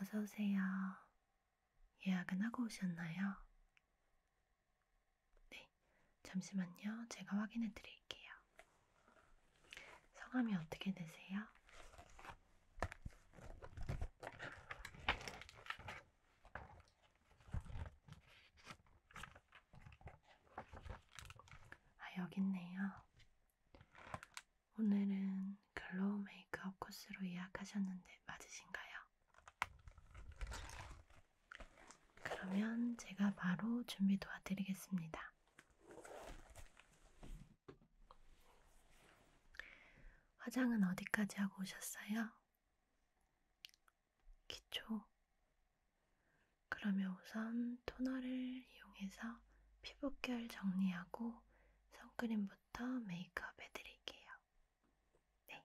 어서오세요. 예약은 하고 오셨나요? 네, 잠시만요. 제가 확인해 드릴게요. 성함이 어떻게 되세요? 아, 여기 있네요. 오늘은 글로우 메이크업 코스로 예약하셨는데 맞으신가요? 그러면 제가 바로 준비 도와드리겠습니다. 화장은 어디까지 하고 오셨어요? 기초. 그러면 우선 토너를 이용해서 피부결 정리하고 선크림부터 메이크업 해드릴게요. 네.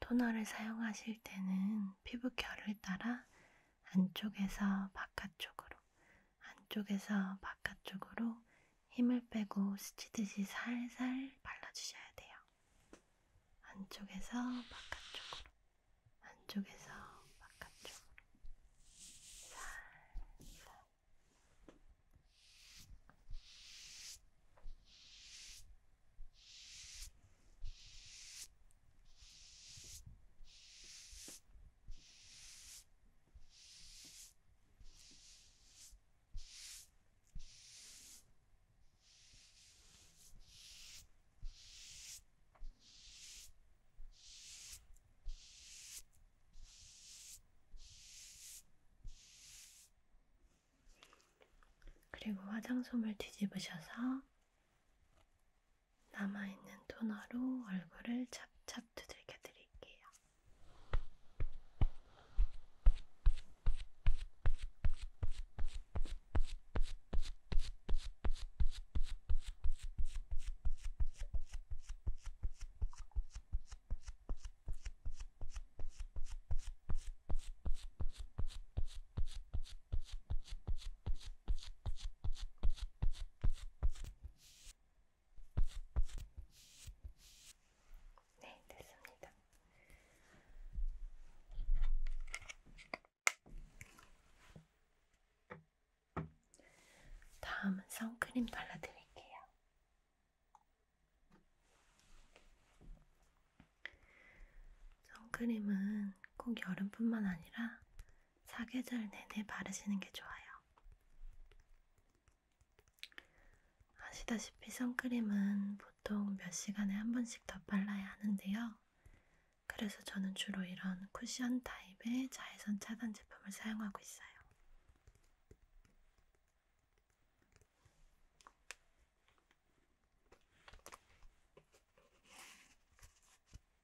토너를 사용하실 때는 피부결을 따라 안쪽에서 바깥쪽으로, 안쪽에서 바깥쪽으로 힘을 빼고 스치듯이 살살 발라주셔야 돼요. 안쪽에서 바깥쪽으로, 안쪽에서 바깥쪽으로, 살살. 그리고 화장솜을 뒤집으셔서 남아있는 토너로 얼굴을 찹찹 두들겨 드릴게요. 네, 됐습니다. 다음은 선크림 발라드릴게요. 선크림은 꼭 여름뿐만 아니라 사계절 내내 바르시는 게 좋아요. 아시다시피 선크림은 보통 몇 시간에 한 번씩 더 발라야 하는데요. 그래서 저는 주로 이런 쿠션 타입의 자외선 차단 제품을 사용하고 있어요.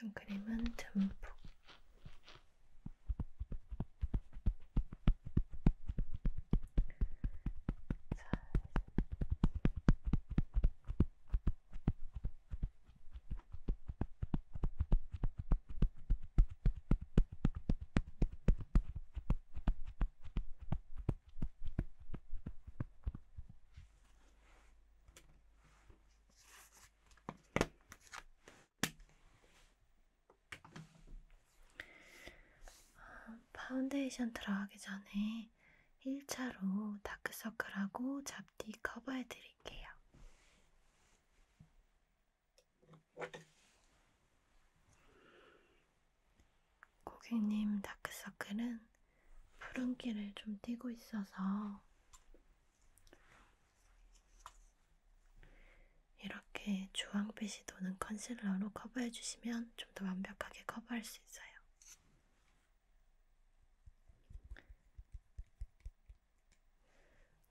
선크림은 전부 아, 파운데이션 들어가기 전에 1차로 다크서클하고 잡티 커버해 드릴게요. 고객님 다크서클은 푸른기를 좀 띄고 있어서 이렇게 주황빛이 도는 컨실러로 커버해주시면 좀 더 완벽하게 커버할 수 있어요.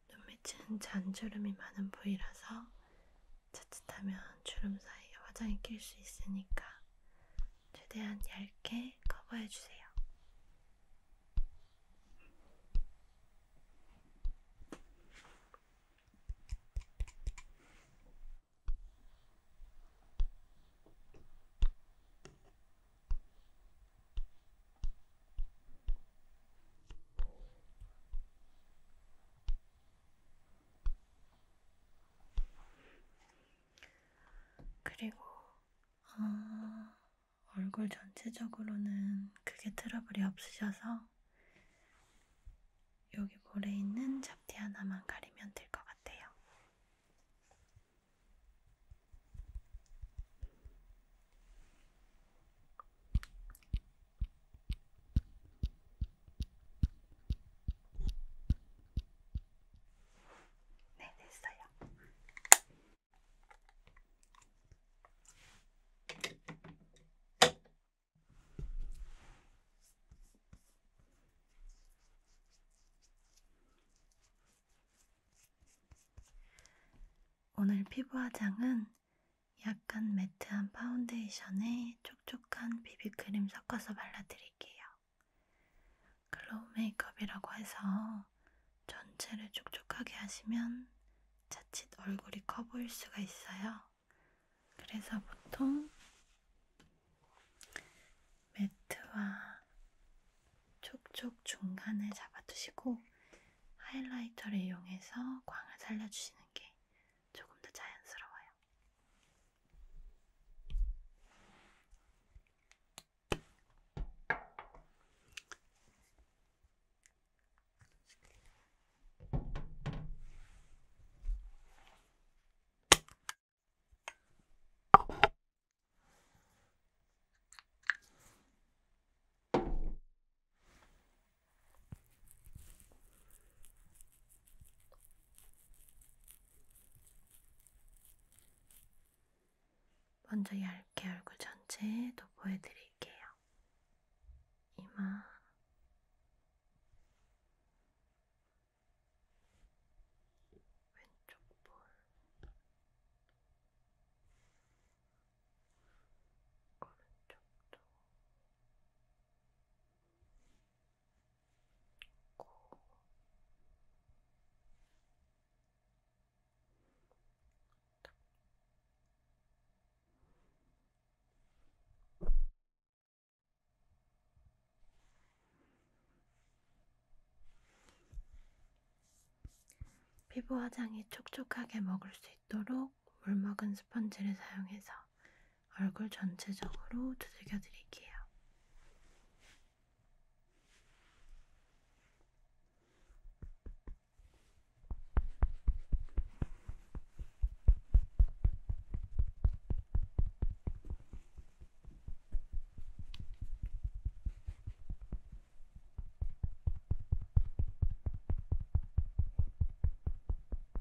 눈 밑은 잔주름이 많은 부위라서 자칫하면 주름 사이에 화장이 낄 수 있으니까 최대한 얇게 커버해주세요. 그리고 어, 얼굴 전체적으로는 크게 트러블이 없으셔서 여기 볼에 있는 잡티 하나만 가리면 될 것 같아요. 네, 됐어요. 오늘 피부 화장은 약간 매트한 파운데이션에 촉촉한 비비크림 섞어서 발라드릴게요. 글로우 메이크업이라고 해서 전체를 촉촉하게 하시면 자칫 얼굴이 커 보일 수가 있어요. 그래서 보통 매트와 촉촉 중간을 잡아두시고 하이라이터를 이용해서 광을 살려주시는 게 조금 더 자연스러워요. 먼저 얇게 얼굴 전체도 보여드릴게요. 이마, 왼쪽 볼, 오른쪽도, 고 피부 화장이 촉촉하게 먹을 수 있도록 꼭 물먹은 스펀지를 사용해서 얼굴 전체적으로 두들겨 드릴게요.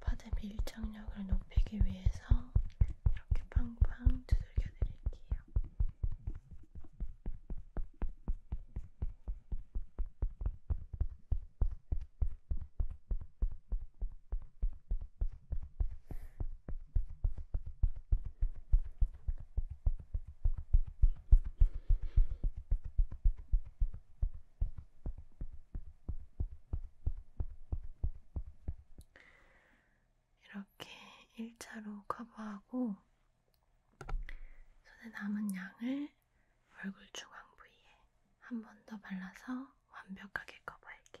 파데 밀착력을 높이기 위해서 이렇게 팡팡 두들겨 드릴게요. 이렇게 1차로 커버하고 손에 남은 양을 얼굴 중앙 부위에 한 번 더 발라서 완벽하게 커버할게요.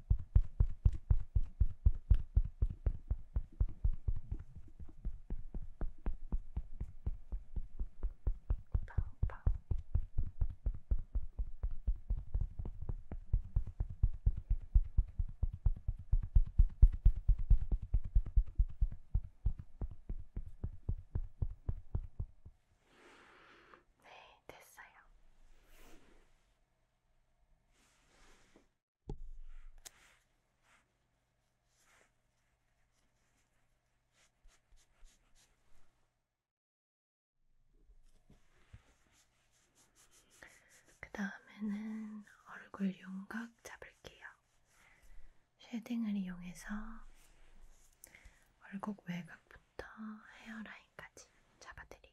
네, 됐어요. 그 다음에는 얼굴 윤곽 잡을게요. 쉐딩을 이용해서 얼굴 외곽부터 헤어라인까지 잡아드릴게요.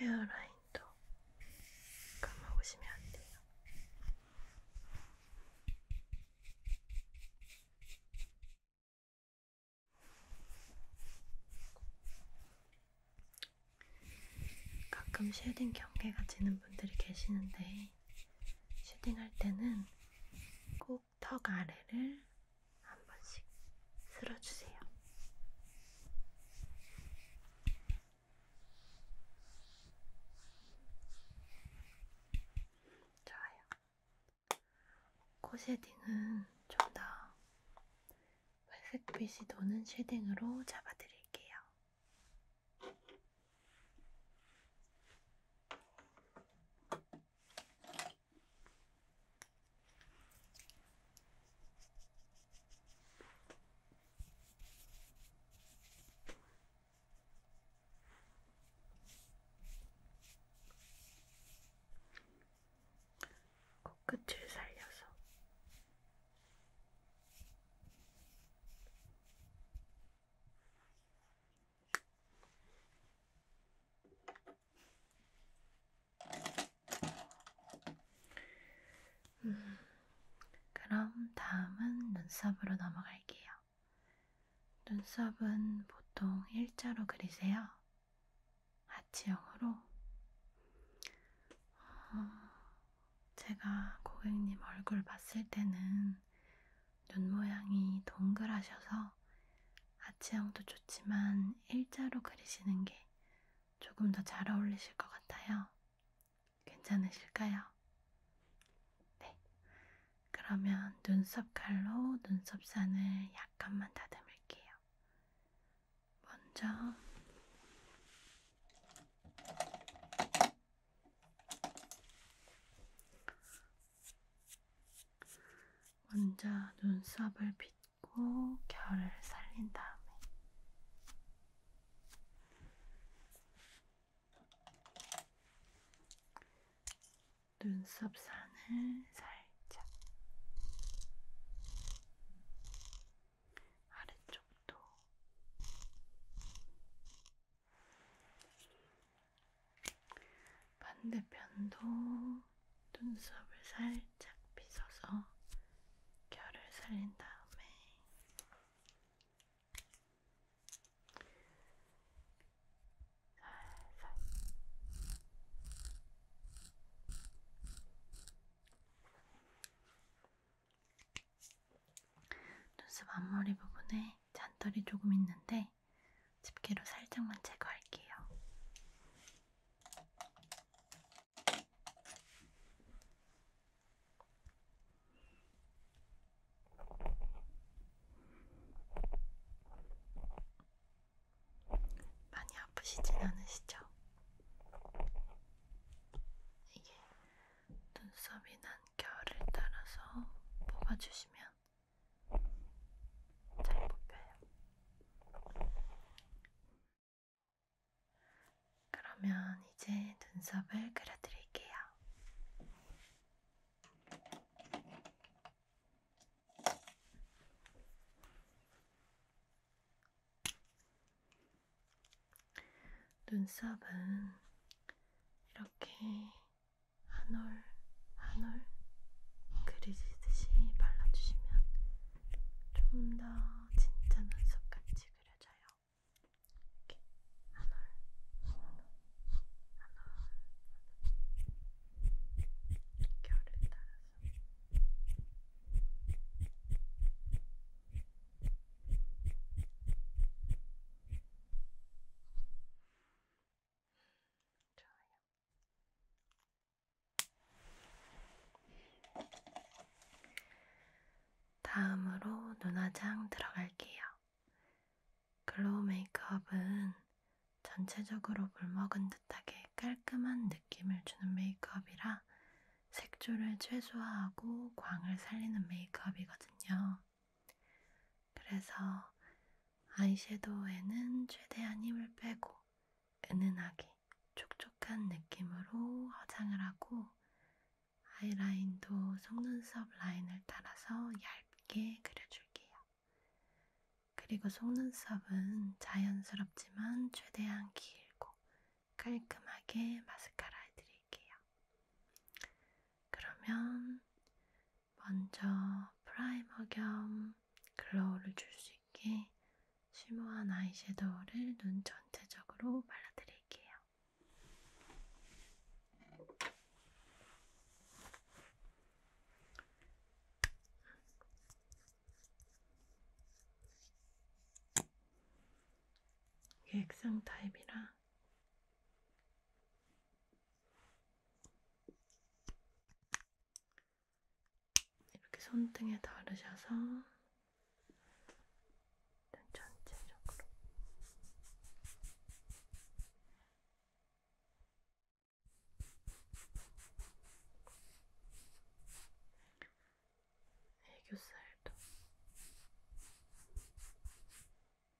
헤어라인도 감아보시면 안 돼요. 가끔 쉐딩 경계가 지는 분들이 계시는데 쉐딩할 때는 꼭 꼭턱 아래를 한 번씩 쓸어주세요. 좋아요. 코 쉐딩은 좀 더 회색빛이 도는 쉐딩으로 잡아드릴게요. 코끝을 살려서 음, 그럼 다음은 눈썹으로 넘어갈게요. 눈썹은 보통 일자로 그리세요? 아치형으로? 어, 제가 고객님 얼굴 봤을 때는 눈 모양이 동그라셔서 아치형도 좋지만 일자로 그리시는 게 조금 더 잘 어울리실 것 같아요. 괜찮으실까요? 네. 그러면 눈썹 칼로 눈썹 산을 약간만 다듬을게요. 먼저 먼저 눈썹을 빗고 결을 살린 다음에 눈썹 산을 살짝 아래쪽도 반대편도 눈썹을 살짝 빗어서 결을 살린 다음에 살살 눈썹 앞머리 부분에 잔털이 조금 있는데 집게로 살짝만 제거할게요. 많이 아프시진 않으시죠? 이게 눈썹이 난 결을 따라서 뽑아주시면 잘 벗겨요. 그러면 이제 눈썹을 그려드릴게요. 눈썹은 이렇게 한올 한올 그리듯이 발라주시면 좀 더 진짜 눈썹같이 그려져요. 이렇게 한올 한올 한올 결을 따라서 좋아요. 다음으로 눈화장 들어갈게요. 글로우 메이크업은 전체적으로 물먹은 듯하게 깔끔한 느낌을 주는 메이크업이라 색조를 최소화하고 광을 살리는 메이크업이거든요. 그래서 아이섀도우에는 최대한 힘을 빼고 은은하게 촉촉한 느낌으로 화장을 하고 아이라인도 속눈썹 라인을 따라서 얇게 그려줄게요. 그리고 속눈썹은 자연스럽지만 최대한 길고 깔끔하게 마스카라 해드릴게요. 그러면 먼저 프라이머 겸 글로우를 줄 수 있게 쉬머한 아이섀도우를 눈 전체적으로 발라드릴게요. 이게 액상 타입이라 이렇게 손등에 바르셔서 전체적으로 애교살도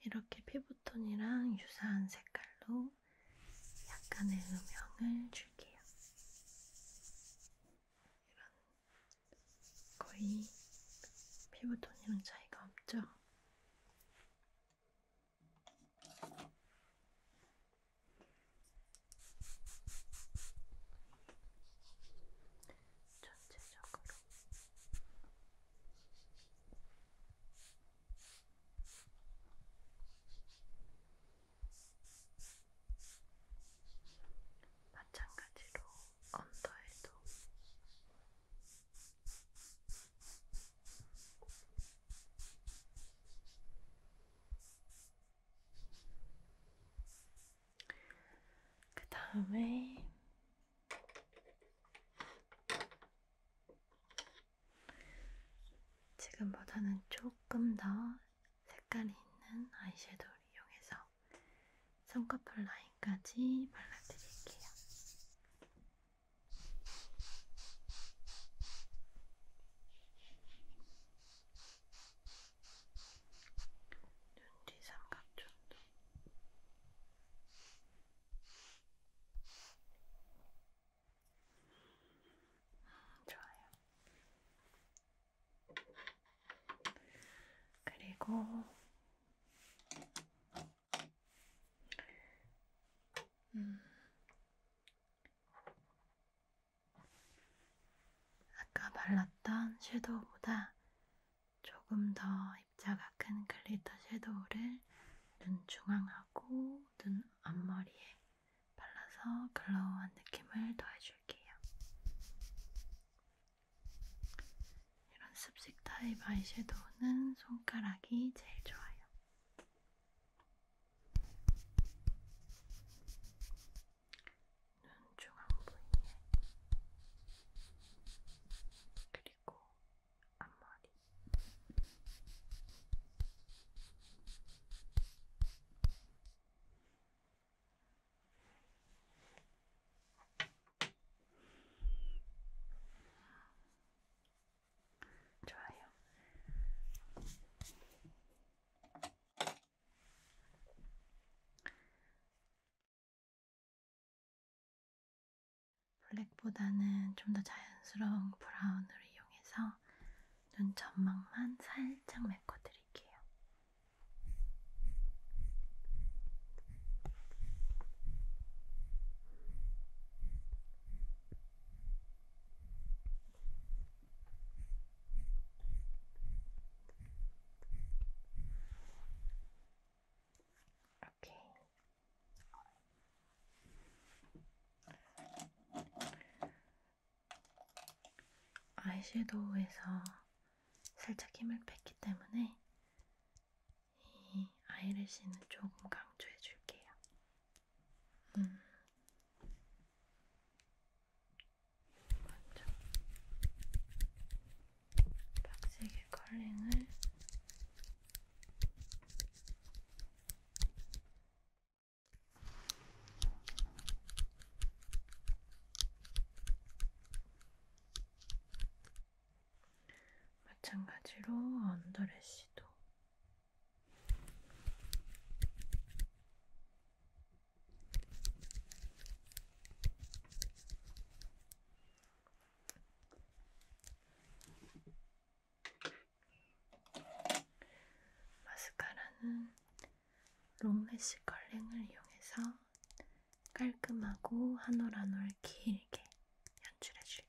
이렇게 피부톤이랑 유사한 색깔로 약간의 음영을 줄게요. 이런 거의 피부톤이랑 차이가 없죠? 전체적으로 마찬가지로 언더에도 그 다음에 지금보다는 조금 더 색깔이 있는 아이섀도우를 이용해서 쌍꺼풀 라인까지 발라드릴게요. 눈 뒤 삼각존도. 음, 좋아요. 그리고 음. 아까 발랐던 섀도우보다 조금 더 입자가 큰 글리터 섀도우를 눈 중앙하고 눈 앞머리에 발라서 글로우한 느낌을 더해줄게요. 이런 습식 타입 아이섀도우는 손가락이 제일 좋아요. 눈 중앙 부위에 그리고 앞머리. 좋아요. 블랙보다는 좀 더 자연스러운 브라운으로 이용해서 눈 점막만 살짝 메꿔드릴게요. 이렇게 아이섀도우에서 살짝 힘을 뺐기 때문에 이 아이래쉬는 조금 강조해 줄게요. 음. 먼저 빡세게 컬링을 마찬가지로 언더래쉬도 마스카라는 롱래쉬 컬링을 이용해서 깔끔하고 한올한올 길게 연출해 줄게요.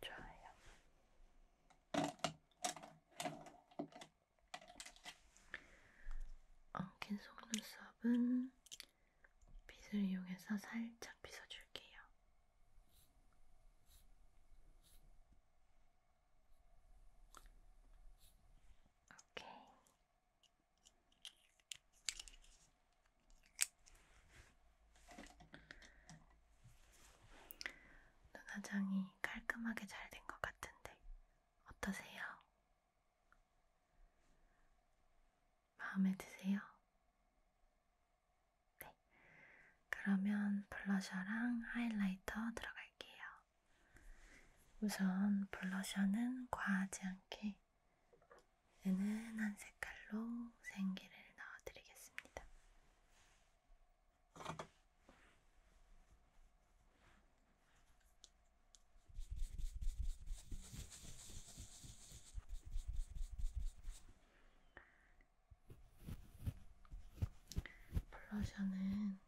좋아요. 엉킨 속눈썹은 빗을 이용해서 살짝 빗어줄게요. 오케이. 눈화장이 깔끔하게 잘 된 것 같은데 어떠세요? 마음에 드세요? 네. 그러면 블러셔랑 하이라이터 들어갈게요. 우선 블러셔는 과하지 않게 은은한 색깔로 생기를 넣어드리겠습니다. 블러셔는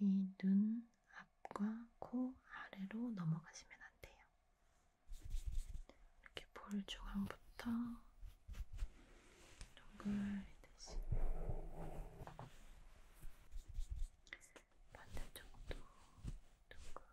이 눈 앞과 코 아래로 넘어가시면 안 돼요. 이렇게 볼 중앙부터 동글이듯이 반대쪽도 동글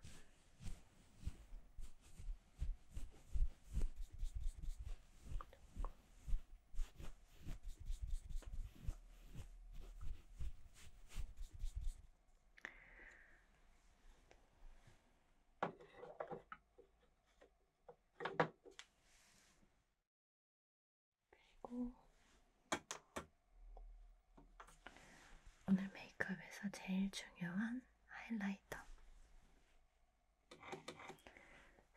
그리고 오늘 메이크업에서 제일 중요한 하이라이터.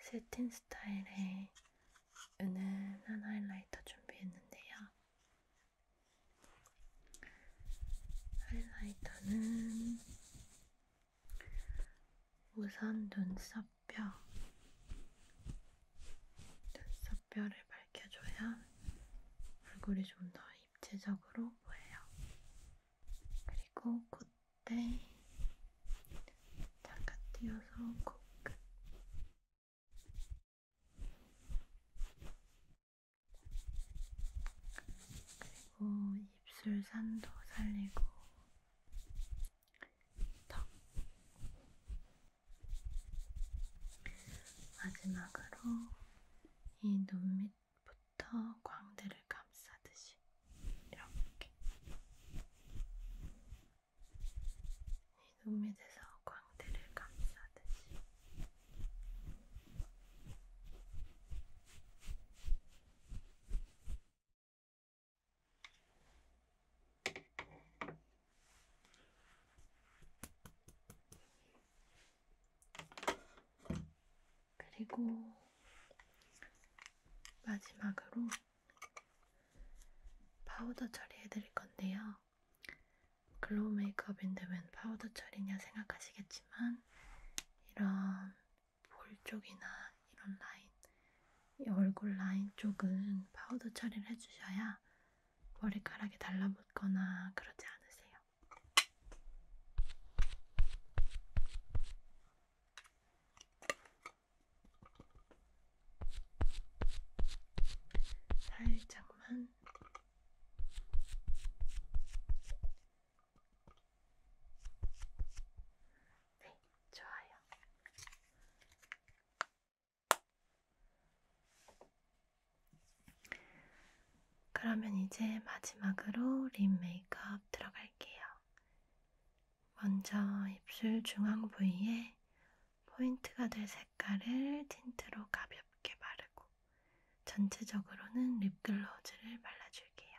실틴 스타일의 은은한 하이라이터 준비했는데요. 하이라이터는 우선 눈썹뼈, 눈썹뼈를 밝혀줘야 얼굴이 좀 더 입체적으로 보여요. 그리고 콧 네. 잠깐 뛰어서 콕. 그리고 입술 산도 살리고 턱. 마지막으로 이 눈 밑. 부터 광대를 감싸듯이 이렇게 이눈 밑에서 광대를 감싸듯이 그리고 마지막으로 파우더 처리해드릴 건데요. 글로우 메이크업인데 웬 파우더 처리냐 생각하시겠지만 이런 볼 쪽이나 이런 라인, 이 얼굴 라인 쪽은 파우더 처리를 해주셔야 머리카락이 달라붙거나 그러지 않으세요. 살짝만 네, 좋아요. 그러면 이제 마지막으로 립 메이크업 들어갈게요. 먼저 입술 중앙 부위에 포인트가 될 색깔을 틴트로 가볍게 바르고 전체적으로는 립글로즈를 발라줄게요.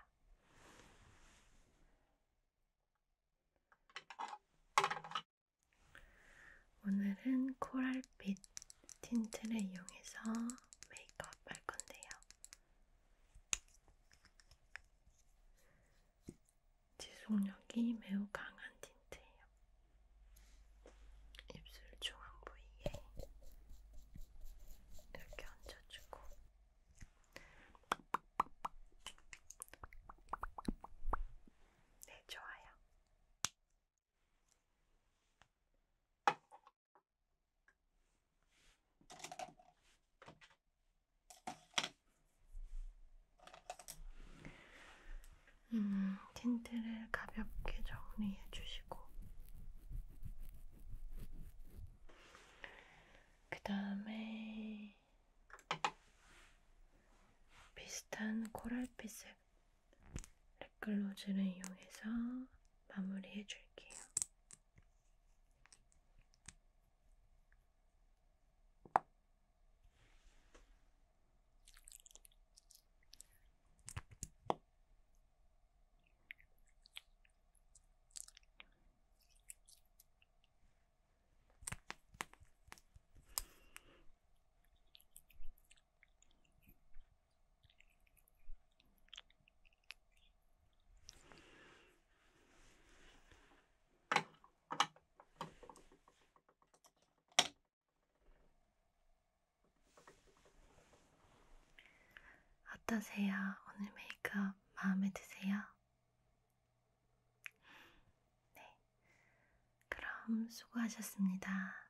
오늘은 코랄빛 틴트를 이용해서 메이크업 할 건데요. 지속력이 매우 강한 틴트예요. 입술 중앙 부위에 이렇게 얹어주고 네, 좋아요. 음, 틴트를 가볍게 정리해 주시고, 그 다음에 비슷한 코랄빛색 립글로즈를 이용해서 마무리해 줄게요. 어떠세요? 오늘 메이크업 마음에 드세요? 네. 그럼 수고하셨습니다.